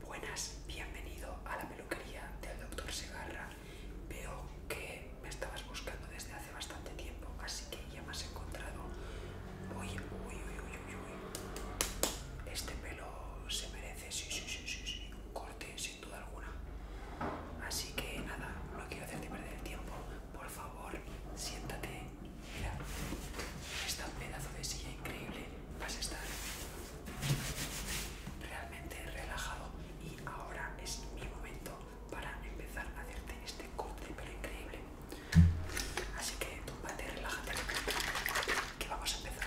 Buenas, bienvenido a la peluquería del doctor Segarra. Veo que me estabas buscando desde hace bastante tiempo, así que ya me has encontrado. Uy, uy, uy, uy, uy, uy. Este pelo se merece, sí, sí, sí, sí, un corte sin duda alguna. Así que nada, no quiero hacerte perder el tiempo. Por favor, siéntate. Mira, esta pedazo de silla increíble vas a estar realmente relajado y ahora es mi momento para empezar a hacerte este corte pero increíble así que tómate, relájate que vamos a empezar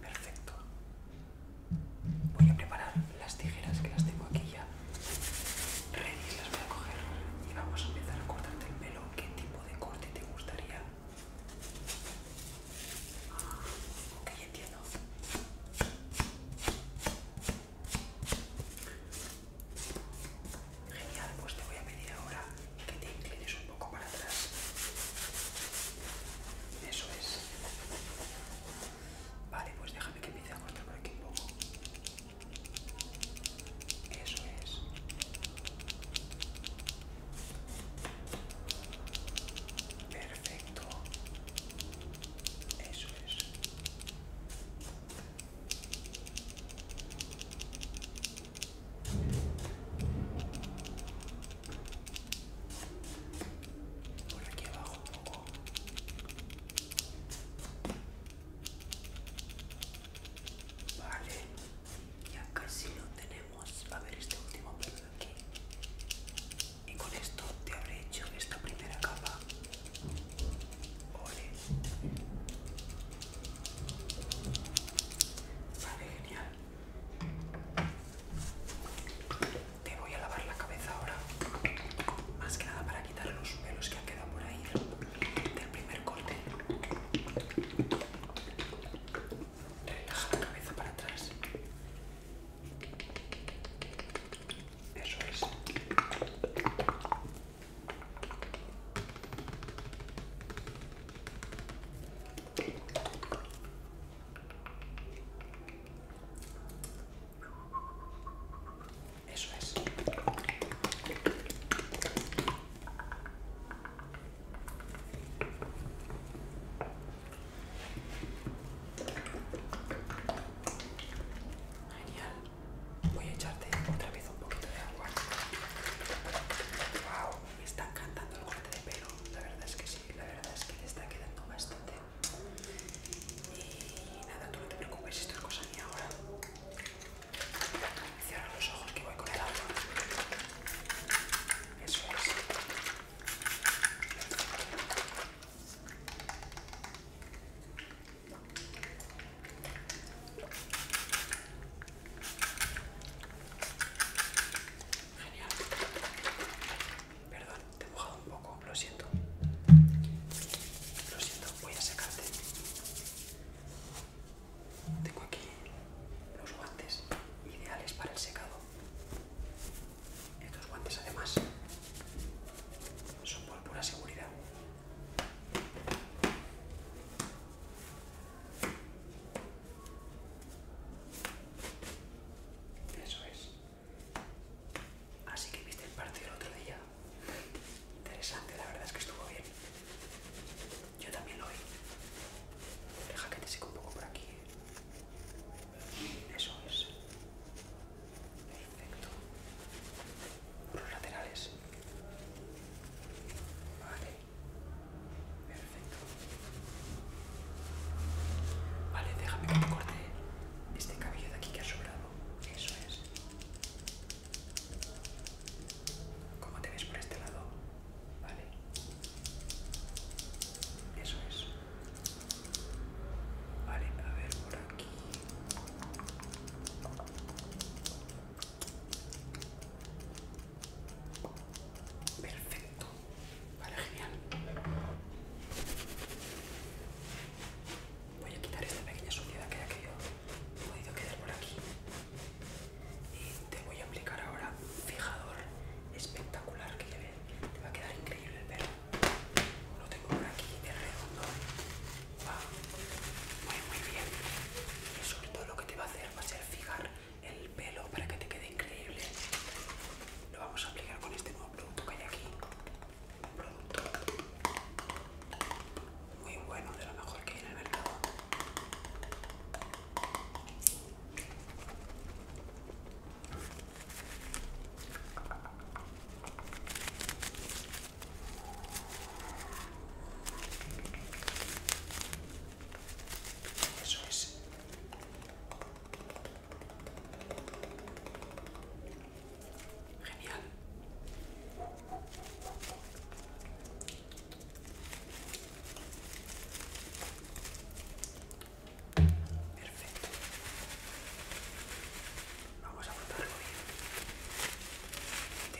Perfecto. Voy a preparar las tijeras que las tengo aquí ya. Ready, las voy a coger y vamos a empezar a cortarte el pelo. ¿Qué tipo de corte te gustaría? ok, entiendo. Genial, pues te voy a pedir ahora que te inclines un poco para atrás. Eso es. Vale, pues déjame que empiece a cortar por aquí un poco. Eso es. Perfecto. Eso es. Por aquí abajo un poco. Vale, ya casi lo tenemos. Va A ver este último pelo de aquí. Y con esto te habré hecho esta primera capa. Vale, genial. Te voy a lavar la cabeza ahora, más que nada para quitar los pelos que han quedado por ahí del primer corte. Relaja la cabeza para atrás. Eso es. Eso es. Genial. Voy a echarte otra vez un poquito de agua. Wow me está encantando el corte de pelo, la verdad es que sí, la verdad es que le está quedando bastante. Y nada, tú no te preocupes, esto es cosa ni ahora. Cierra los ojos que voy con el agua. Eso es. Genial. Perdón, te he mojado un poco, lo siento. Lo siento, voy a secarte. Tengo aquí los guantes ideales para el secado. Estos guantes además son por pura seguridad. Eso es. Así que viste el partido el otro día. Interesante, la verdad es que estuvo bien. Yo también lo vi. Deja que te seque un poco por aquí. Eso es. Perfecto. Por los laterales. Perfecto. Vale, déjame que me corte este cabello de aquí que ha sobrado. Eso es. ¿Cómo te ves por este lado? Vale. Eso es. Vale, a ver por aquí. Perfecto. Vale, genial. Voy a quitar esta pequeña suciedad que ha quedado. podido quedar por aquí. Y te voy a aplicar ahora un fijador espectacular que Te va a quedar increíble el pelo. Lo tengo por aquí de redondo muy muy bien y sobre todo lo que te va a hacer va a ser fijar el pelo para que te quede increíble lo vamos a aplicar con este nuevo producto que hay aquí un producto muy bueno de lo mejor que hay en el mercado eso es. Genial. Perfecto. Vamos a el bien.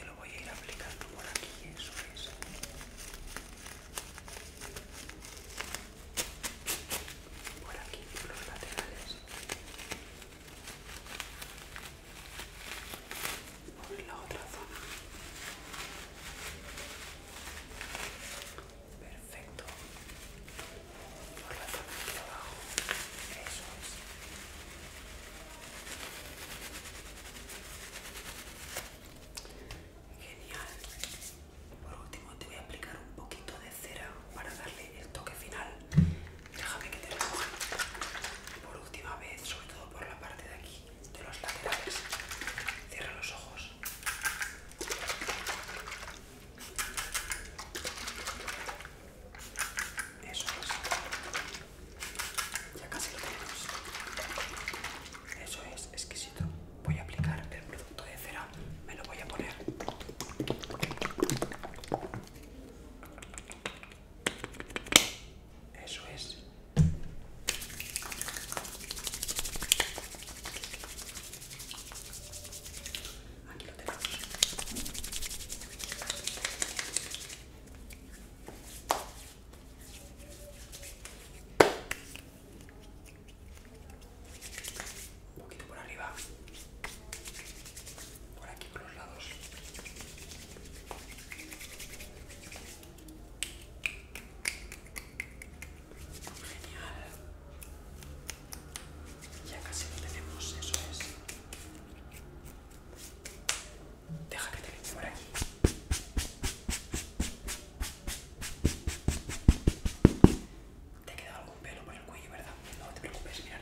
Te lo voy a ir aplicando por aquí, eso es. Por aquí, por los laterales. Por la otra zona. Perfecto. Por la zona de abajo. Eso es. Genial. Por último te voy a aplicar un poquito de cera para darle el toque final. Déjame que te haga por última vez, sobre todo por la parte de aquí, de los laterales. Cierra los ojos. Eso es. Ya casi lo tenemos. Eso es exquisito. Voy a aplicar el producto de cera. Me lo voy a poner. Eso es. Aquí lo tenemos. Un poquito por arriba. Por aquí, por los lados. Genial. Ya casi lo tenemos, eso es. Deja que te limpie por aquí. Te ha quedado algún pelo por el cuello, ¿verdad? No te preocupes, mirad.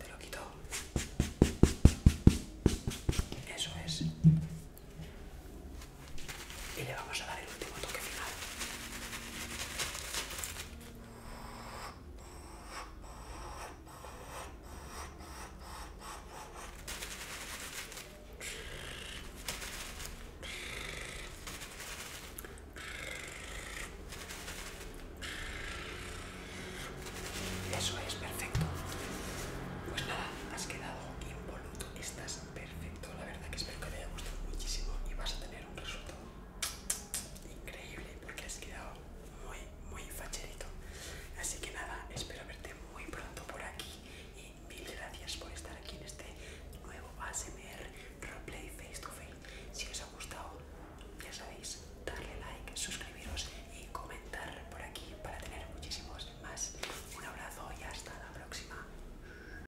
Te lo quito. Eso es. Y le vamos a dar el último toque final. Eso es, perfecto. Pues nada, has quedado Involuto, estás perfecto. La verdad que espero que te haya gustado muchísimo y vas a tener un resultado increíble porque has quedado muy, muy facherito. Así que nada, espero verte muy pronto por aquí y mil gracias por estar aquí en este nuevo ASMR Roleplay Face to Face. Si os ha gustado, ya sabéis, darle like, suscribiros y comentar por aquí para tener muchísimos más. Un abrazo y hasta la próxima.